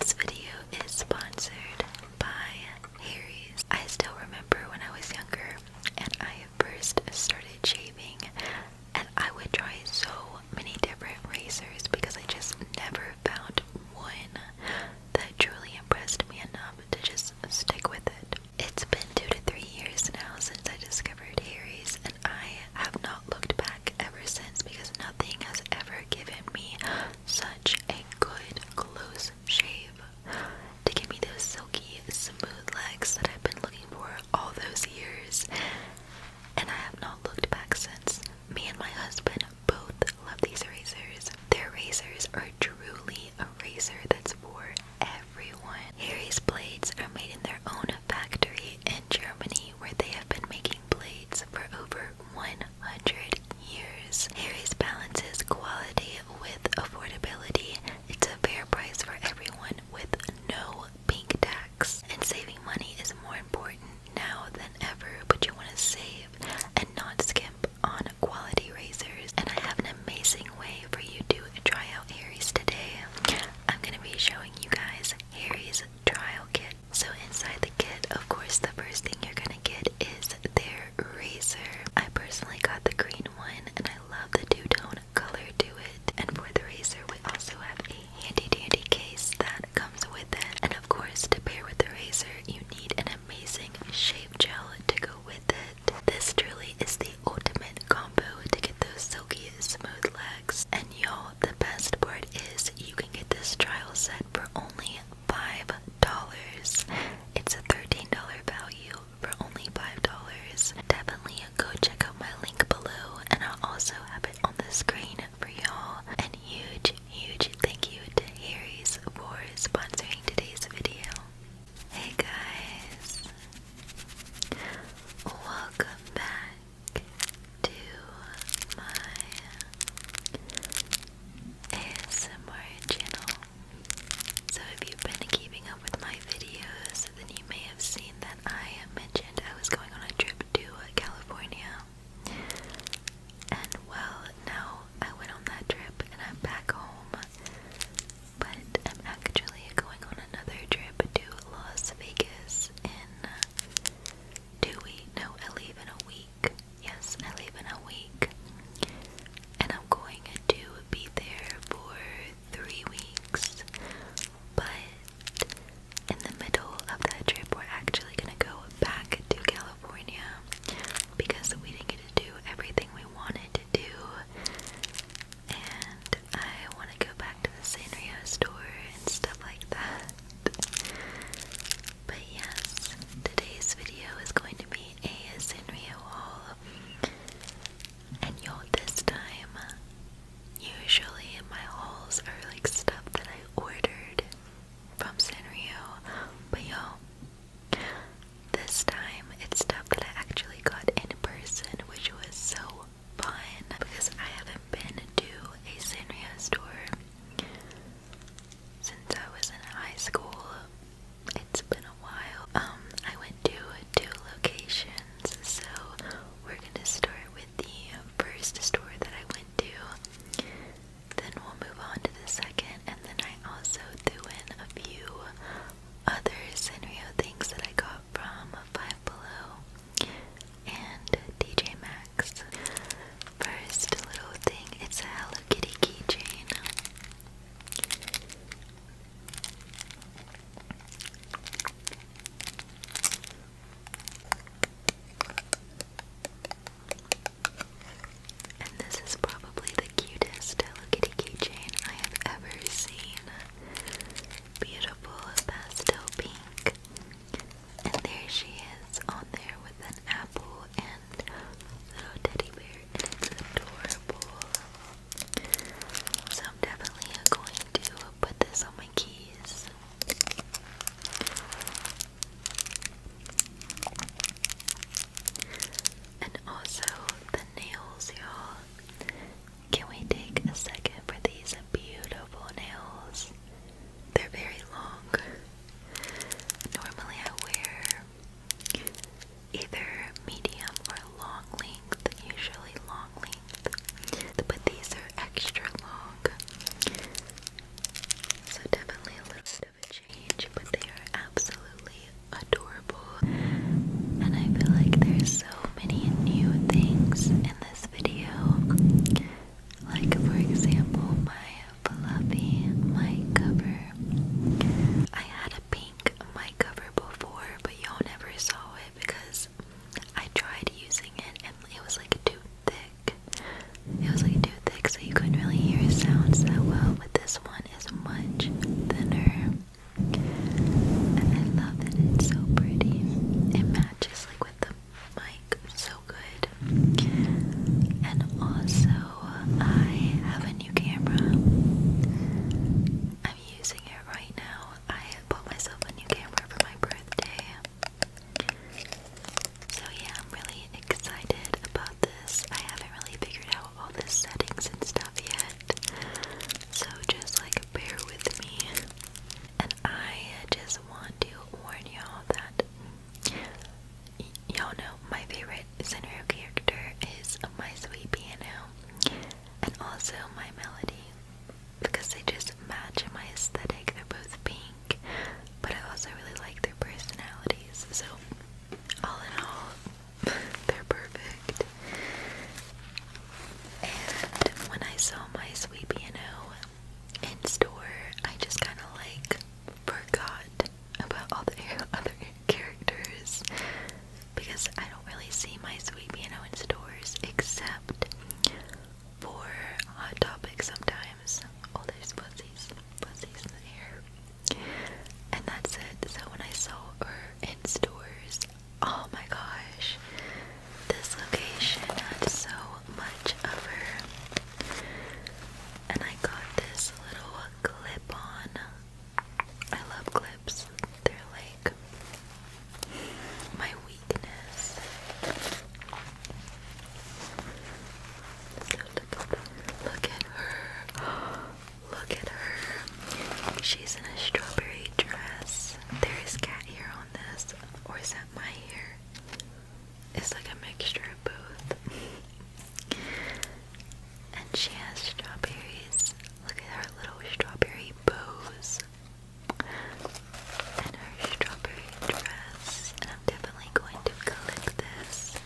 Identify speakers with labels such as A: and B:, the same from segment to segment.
A: This video is sponsored by Harry's. I still remember when I was younger and I first started shaving and I would try so many different razors because I just never found one that truly impressed me enough to just stick with it. It's been two to three years now since I discovered Harry's and I have not looked back ever since because nothing has ever given me such a good close shave to give me those silky, smooth legs that I've been looking for all those years. And I have not looked back since. Me and my husband both love these razors. Their razors are truly a razor that's for everyone. Harry's blades are made in their own factory in Germany where they have been making blades for over 100 years. Harry's balances quality with affordability. It's a fair price for everyone with no pink tax. And saving money is more important now than ever, but you want to save and not skimp on quality razors. And I have an amazing way for you to try out Harry's today. I'm going to be showing you guys Harry's trial kit so inside the kit, of course, the first thing you're gonna get is their razor. I personally got the green one, and I love the two-tone color to it. And for the razor, we also have a handy-dandy case that comes with it. And of course, to pair with the razor, you need an amazing shave gel to go with it. This truly is the ultimate combo to get those silky, smooth legs. And y'all, the best part is you can get this trial set for only $5. It's a $13 value for only $5. Definitely go check out my link below, and i also have it on the screen for y'all. And huge, huge thank you to Harry's for sponsoring today's video. Hey guys, welcome back to my ASMR channel. So if you've been keeping up with my videos, then you may have seen that I mentioned I was going on a trip to California. And well, now I went on that trip and I'm back home. But I'm actually going on another trip to Las Vegas in two weeks. No, I leave in a week. Yes, I leave in a week. And I'm going to be there for three weeks. But in the middle of that trip, we're actually going to go back to California because we didn't get to do everything we wanted to do. And I want to go back to the Sanrio store and stuff like that. But yes, today's video is going to be a Sanrio haul. And you this time, usually my hauls are like stuff that I ordered from Sanrio. But yo, this time it's stuff that I actually got in person, which was so fun because I haven't been to a Sanrio store since I was in high school. It's been a while. Um, I went to two locations, so we're gonna start with the first store that I went to. Then we'll move on to the second, and then I also threw in a few other Sanrio things that I got from Five Below and DJ Maxx first little thing. It's a Hello Kitty keychain. And this is probably the cutest Hello Kitty keychain I have ever seen. Beautiful pastel pink. And there she is on there with an apple and little teddy bear, and it's adorable. So I'm definitely going to put this on my keys. And also the nails, y'all. Can we take a second for these beautiful nails? They're very long. Normally, I wear either medium or long length, usually long length, but these are extra long. So, definitely a little bit of a change, but they are absolutely adorable. And I feel like there's so many new things in this video. Like, for example, my fluffy mic cover. I had a pink mic cover before, but y'all never saw it because I tried using it and it was like too thick. It was like too thick, so you couldn't really hear sounds that well. But this one is much thinner, and I love that It's so pretty. It matches like with the mic so good. And also, I have a new camera. I'm using it right now. I bought myself a new camera for my birthday. So, yeah, I'm really excited about this. I haven't really figured out all the settings and stuff yet. So, just like bear with me. And I just want to warn y'all that y'all know my favorite scenario character is my sweet piano and also my melody because they just match my aesthetic. They're both pink, but I also really like their personalities. So, all in all, they're perfect. And when I saw my sweet piano in store, I just kind of like forgot about all the other characters because I don't really see my sweet piano in stores except for Hot Topic sometimes. Oh, there's pussies, pussies in the air, and that's it. So when I saw her in stores, oh my gosh, this location had so much of her. And I got this little clip on. I love clips, they're like my weakness. look at her. Look at her. She's in a strawberry dress. There is cat hair on this. Or is that my hair? It's like a mixture of both. and she has strawberries. Look at her little strawberry bows. And her strawberry dress. And I'm definitely going to collect this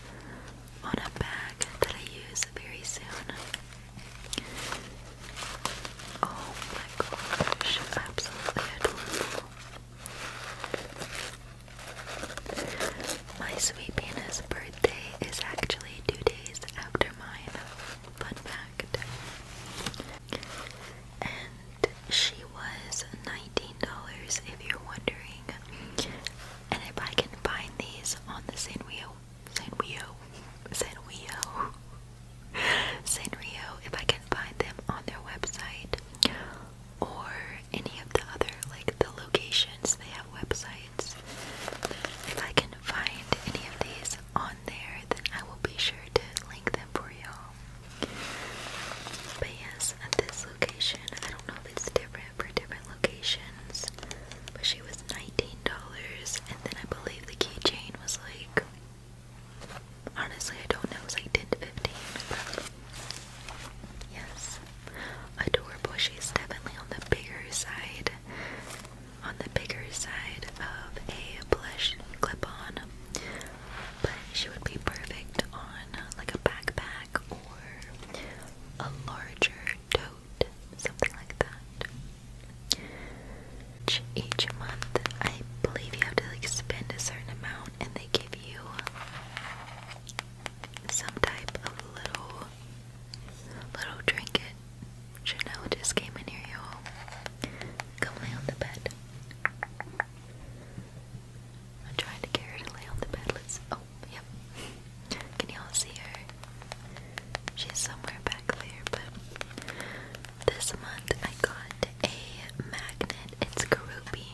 A: on a bag that I use very soon. Oh my gosh, absolutely adorable. My sweet penis birthday is actually two days after mine. Fun fact. And she was $19 if you're wondering. And if I can find these on the Sanrio, Sanrio, Sanrio, Sanrio, if I can find them on their website, or any of the other like the locations they have websites. If I can find any of these on there, then I will be sure to link them for y'all. But yes, at this location, I don't know if it's different for different locations, but she was $19, and then I believe the keychain was like Honestly, I don't know. It's like 10 to 15. yes. Adore Bushy's definitely on the bigger side. On the bigger side of a blush clip on. But she would be perfect on like a backpack or a larger tote. Something like that. each month, I believe you have to like spend a certain amount and they give some type of little little trinket. Chanel just came in here, y'all. Come lay on the bed. I'm trying to get her to lay on the bed. Let's oh yep. Can y'all see her? She's somewhere back there, but this month I got a magnet. It's Karubi.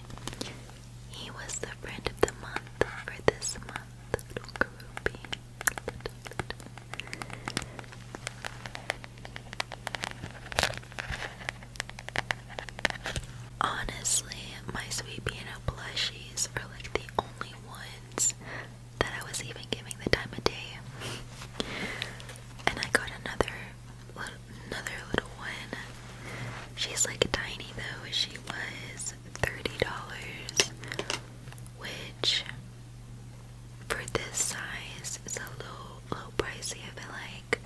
A: He was the friend of the month for this month. Honestly, my sweet piano plushies are like the only ones that I was even giving the time of day. and I got another another little one. She's like a tiny though. She was $30, which for this size is a little, little pricey, I feel like.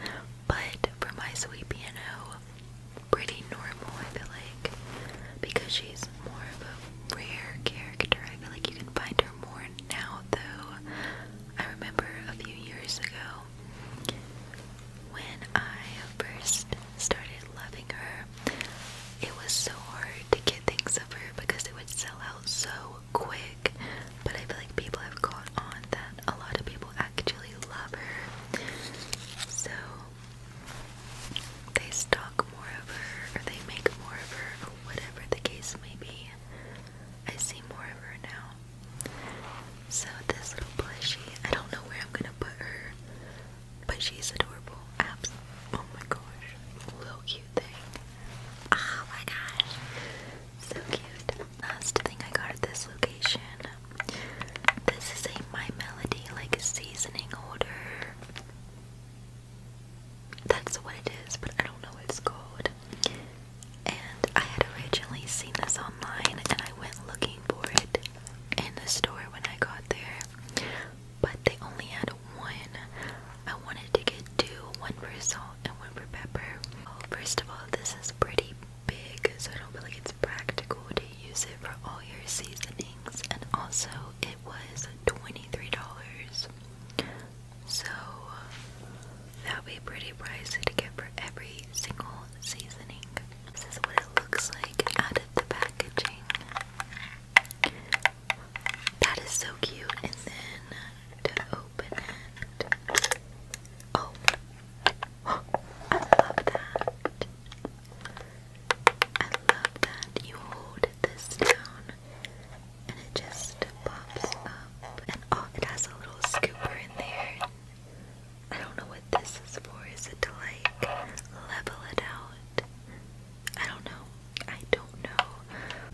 A: But for my sweet piano, pretty normal, I feel like. Because she's more of a rare character. I feel like you can find her more now, though. I remember a few years ago when I first started loving her, it was so hard to get things of her because they would sell out so quick. But I feel like people have caught on that a lot of people actually love her. So they stock more of her or they make more of her or whatever the case may be. I see more of her now. So this little plushie, I don't know where I'm gonna put her, but she's adorable. oh my gosh, little cute thing. Oh my gosh, so cute. Last thing I got at this location. This is a My Melody like seasoning order. That's what it is, but I don't know what it's called. And I had originally seen this online and I went looking for it in the store when I got there. But they only had one. I wanted to get two, one for salt and one for pepper. first of all, this is pretty big, so I don't feel like it's practical to use it for all your seasonings. And also, it was $23. So that would be a pretty price to get for every single seasoning. This is what it looks like out of the packaging. That is so cute. And then to open it. oh I love that. I love that. You hold this down and it just pops up. And oh, it has a little scooper in there I don't know what this is for. Is it to like level it out? I don't know. I don't know.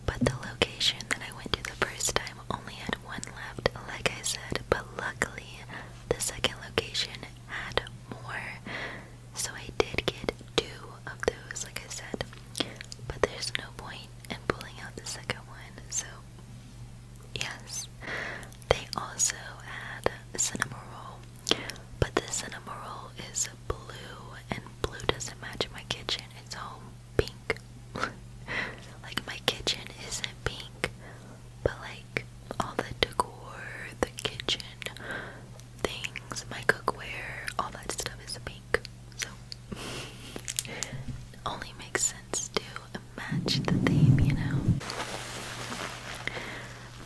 A: But the location that I went to the first time only had one left, like I said, but luckily the second location had more. So I did get two of those, like I said. But there's no point in pulling out the second one, so Yes, they also had cinnamon roll, but the cinnamon roll is blue, and blue doesn't match my kitchen. It's all pink. like my kitchen isn't pink, but like all the decor, the kitchen things, my cookware, all that stuff is pink. So only makes sense to match the theme, you know.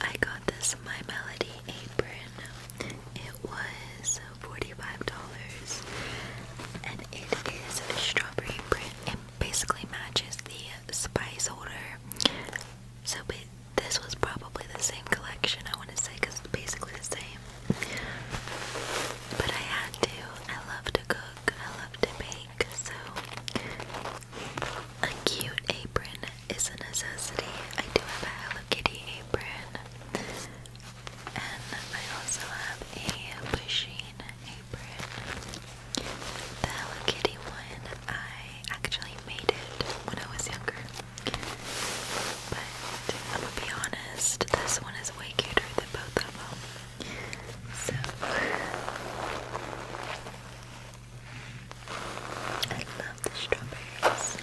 A: I got this My Melody apron. It was $45 and it is a strawberry print. It basically matches the spice holder. So this was probably the same collection, I want to say, because it's basically the same. But I had to. I love to cook. I love to bake so a cute apron is a necessity. I do have a Hello Kitty apron, and I also have a Pusheen apron. The Hello Kitty one, I actually made it when I was younger, but I'm gonna be honest, this one is way cuter than both of them. So I love the strawberries.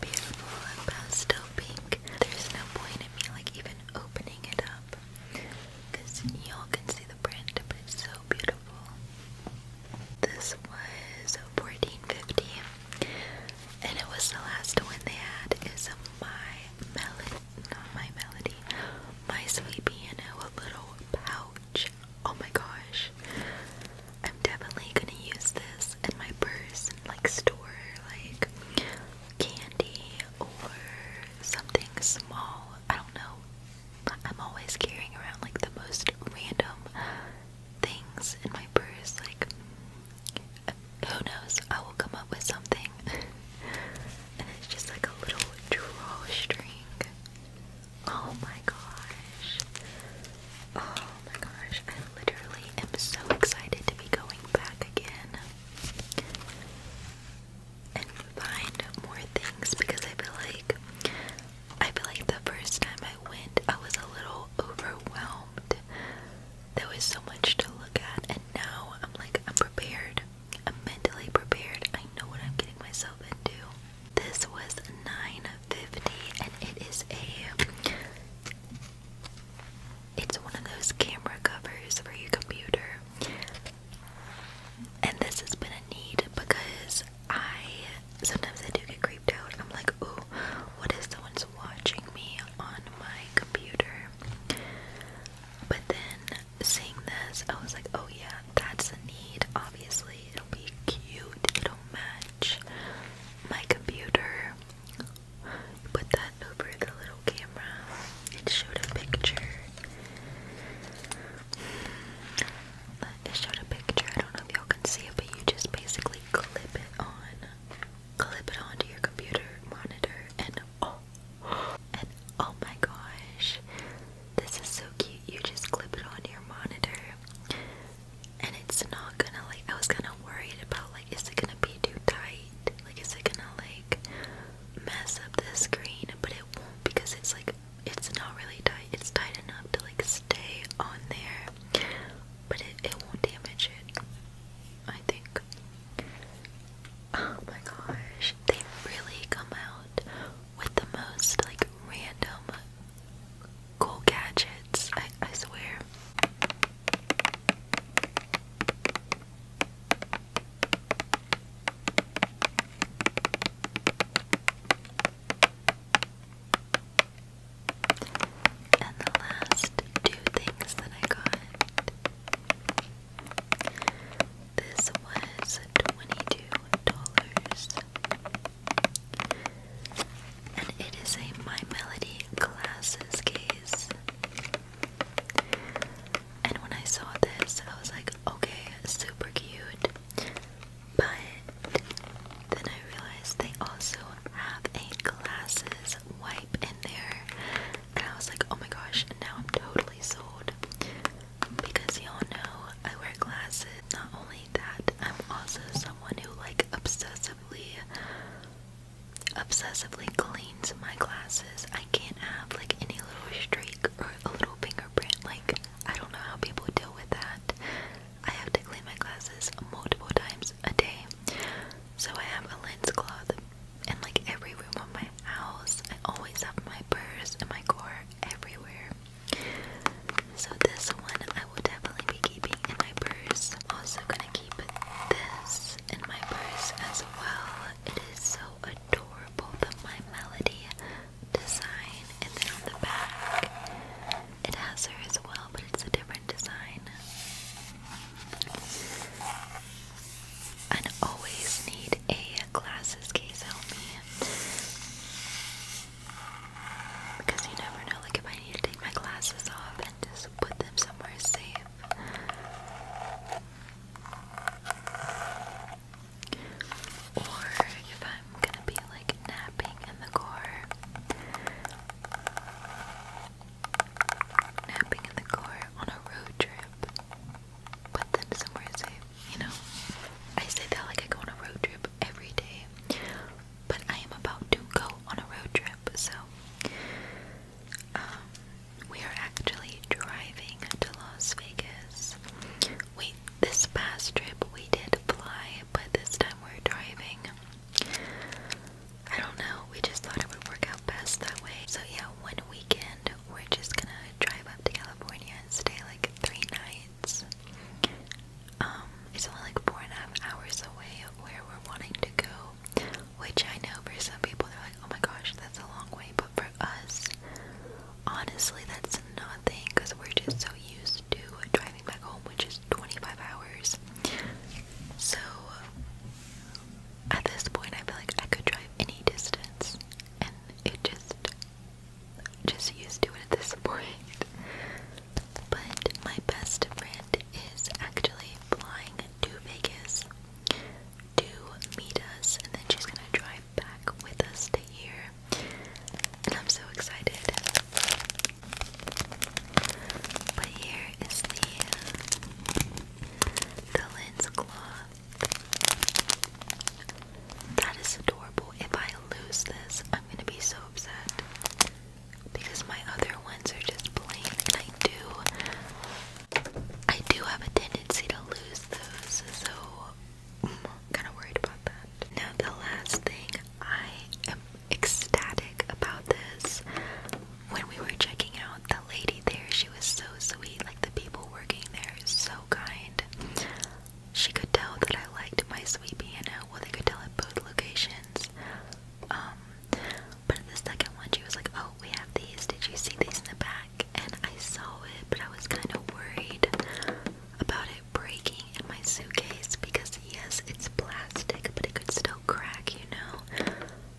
A: Beautiful and pink. There's no point in me like even opening it up. you y'all can see the print, but it's so beautiful. This was 1450 and it was the last one they had is a my melon my melody, my sweet piano, a little pouch. Oh my gosh. I'm definitely gonna use this in my purse and like store like candy or something small. I don't know. I'm always carrying around like the most random things in my purse. Like, who knows? I will come up with something. and it's just like a little drawstring. Oh my gosh. Oh my gosh. I literally am so excited to be going back again and find more things because I feel like I feel like the first time I went I was a little overwhelmed. There was so much to look at and now I'm like I'm prepared. I'm mentally prepared. I know what I'm getting myself into. This was nine fifty, and it is a it's one of those camera covers for your computer. And this has been a need because I sometimes I do get creeped out. I'm like, ooh, what if someone's watching me on my computer? But then seeing this, I was like, oh yeah, that's a need. Obviously, it'll be cute. It'll match my computer. Put that over the little camera and showed a picture. It showed a picture. I don't know if y'all can see it, but you just basically clip it on, clip it onto your computer monitor, and oh, oh my gosh, this is so cute. You just clip it on your monitor, and it's not gonna like. I was kind of worried about like, is it gonna be too tight? Like, is it gonna like mess up the screen? But it won't because it's like it's not really tight. It's tight enough to like stay on there, but it it won't damage it. I think. Oh my gosh, they really come out with the most like random cool gadgets, I, swear. And the last two things that I got this was $22. And it is a My Melody Glasses case. And when I saw this, I was like, okay, super cute. But then I realized they also have a glasses wipe in there and I was like, oh my gosh, now I'm totally sold. Because y'all know I wear glasses. Not only that, I'm also someone who like obsessively obsessively cleans my glasses. I can't have like any little streak or a little fingerprint. Like I don't know how people deal with that. I have to clean my glasses multiple times a day. So I have a lens cloth and like every room of my house. I always have my purse and my core everywhere. So this one I will definitely be keeping in my purse. Also gonna keep this in my purse as well. It is so adorable, the My Melody design. And then on the back, it has her as well, but it's a different design. I always need a glasses case on me. Because you never know, like if I need to take my glasses off and just put them somewhere safe. Or if I'm gonna be like napping in the car. Napping in the car on a road trip but then somewhere safe, you know. I say that like I go on a road trip every day, but I am about to go on a road trip, so um, we are actually driving to Las Vegas. Wait, this past trip we did fly, but this time we're driving. I don't know, we just thought it would work out best that way. So, yeah, one weekend we're just gonna drive up to California and stay like three nights. Um, it's only like four and a half hours away where we're wanting to go, which I know for some people they're like, oh my gosh, that's a long way, but for us, honestly, that's nothing because we're just so used to driving back home, which is 25 hours. So, at this point, I feel like I could drive any distance, and it just, just used to it at this point. But my best friend is actually flying to Vegas to meet us, and then she's gonna drive back with us to here. And I'm so excited. But here is the the lens cloth. That is adorable. If I lose this, I'm gonna be so upset. Because my other ones are just plain and I do I do have a tendency to lose those, so I'm kinda worried about that. Now the last thing I am ecstatic about this. When we were checking out lady there, she was so sweet. Like the people working there, so kind. She could tell that I liked my sweet piano. Well, they could tell at both locations. Um, but at the second one, she was like, "Oh, we have these. Did you see these in the back?" And I saw it, but I was kind of worried about it breaking in my suitcase because yes, it's plastic, but it could still crack, you know.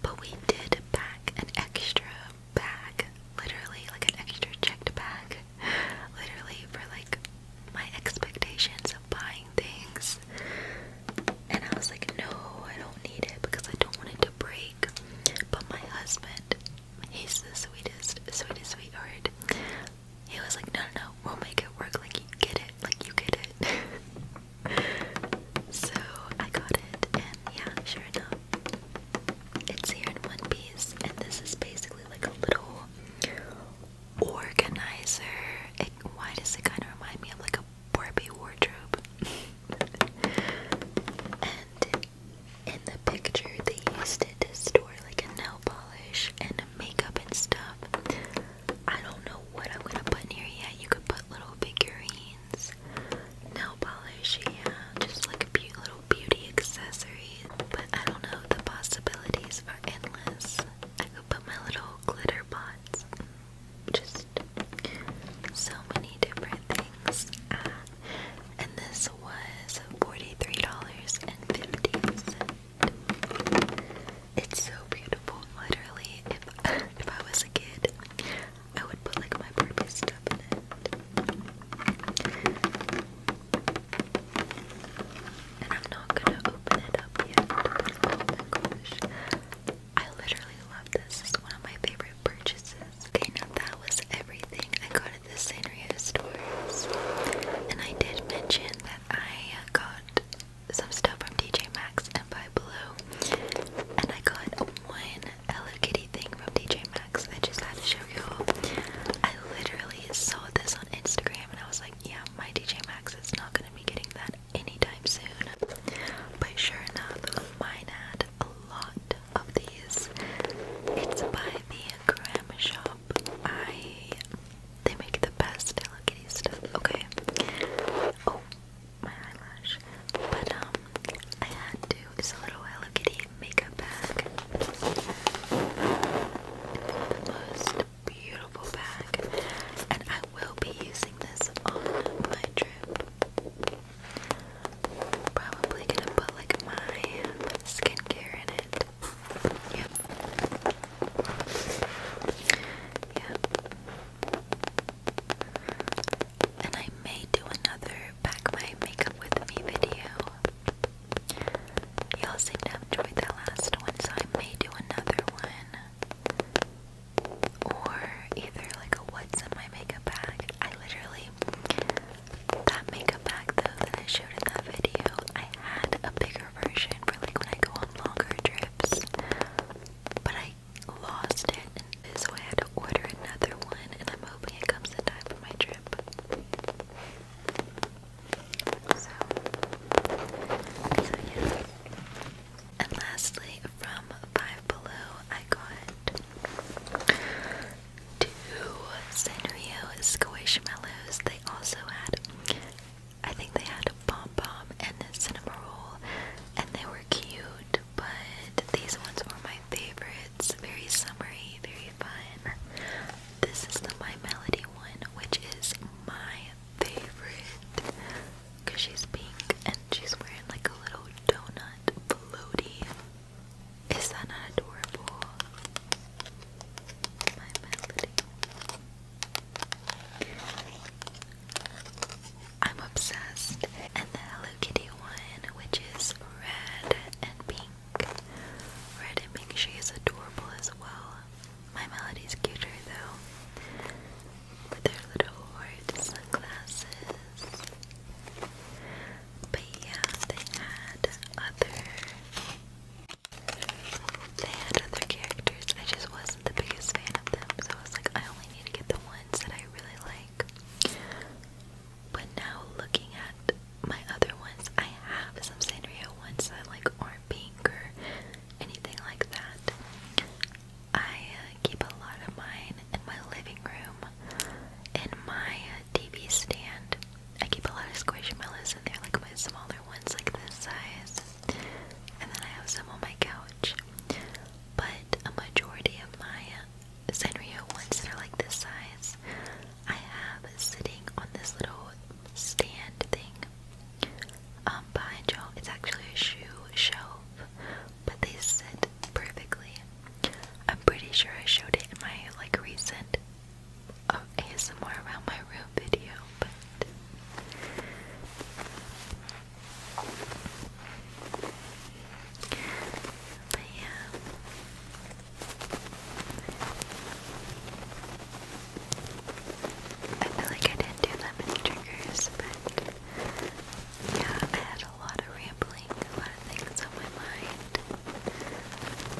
A: But we did pack an extra bag, literally like an extra checked bag, literally for like my expectations of buying things. And I was like, no, I don't need it because I don't want it to break. But my husband, he's the sweetest, sweetest sweetheart. He was like, no, no, no, we'll make it work. Like you get it, like you get it. so I got it, and yeah, sure enough, it's here in one piece, and this is basically like a little organizer. why does it kind of remind me of like a Barbie wardrobe? and in the picture, they used it to store like a nail polish and makeup and stuff. I don't know what I'm gonna put in here yet. You could put little figurines chains, nail polish, yeah, just like a cute little beauty accessories. But I don't know, the possibilities are endless. I could put my little glitter pots, just so many different things. Ah, and this was $43.50. It's so beautiful, literally. if I was a kid, I would put like my Barbie stuff in it. And I'm not gonna open it up yet. I literally love this. It's one of my favorite purchases. Okay, now that was everything I got at the Sanrio stores. And I did mention that I got some stuff from DJ Maxx and Buy Blue. And I got one Hello thing from DJ Maxx. I just had to show you. I literally saw this on Instagram and I was like, yeah, my DJ Max is not gonna be getting that anytime soon. But sure enough, mine had a lot of these. It's by the Graham Shop. I they make the best Hello Kitty stuff. Okay. Oh, my eyelash. But um, I had to. It's a little Hello Kitty makeup bag. most beautiful bag, and I will be using this on my trip. Probably gonna put like my skincare in it. Yep. Yep. And I may do another pack my makeup with me video. Y'all seem to have enjoyed that last one, so I may do another one. Or either like a what's in my makeup bag. I literally that makeup bag though that I showed in that video, I had a bigger version for like when I go on longer trips. But I lost it, so I had to order another one, and I'm hoping it comes in time for my trip. So, so yeah. And lastly, from Five Below, I got two Sanrio Squishmallows. They also had, I think they had a pom pom and a cinnamon roll, and they were cute but these ones were my favorites. Very summery, very fun. This is the My Melody one, which is my favorite because she's pink and she's wearing like a little donut floaty. Is that not adorable? My Melody. I'm obsessed. And the Hello Kitty one, which is red and pink. Red and pink, she is adorable as well. My Melody's cuter though. With her little heart sunglasses. But yeah, they had other they had other characters. I just wasn't the biggest fan of them, so I was like, I only need to get the ones that I really like like. But now looking at my other ones, I have some Sanrio ones that like aren't pink or anything like that. I uh, keep a lot of mine in my living room, in my uh, TV stand. I keep a lot of squishmallows in there, like my smaller ones, like this size. And then I have some on my couch. But a majority of my uh, Sanrio ones that are like this size, I have sitting on this little stand thing um, behind you It's actually a shoe shelf, but they sit perfectly. I'm pretty sure I showed it in my like recent uh, um, ASMR around my room video, but. But yeah. I feel like I didn't do that many triggers, but yeah, I had a lot of rambling, a lot of things on my mind.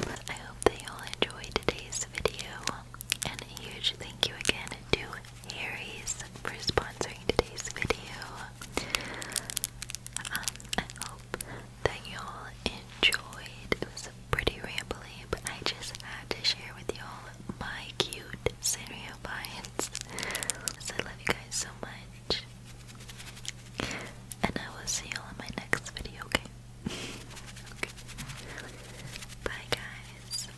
A: But I hope that you all enjoyed today's video, and a huge thank you again to Harry's for sponsoring today's video. Um, I hope that y'all enjoyed. It was pretty rambly, but I just had to share with y'all my cute scenario finds. So I love you guys so much. And I will see y'all in my next video, okay? okay. Bye guys.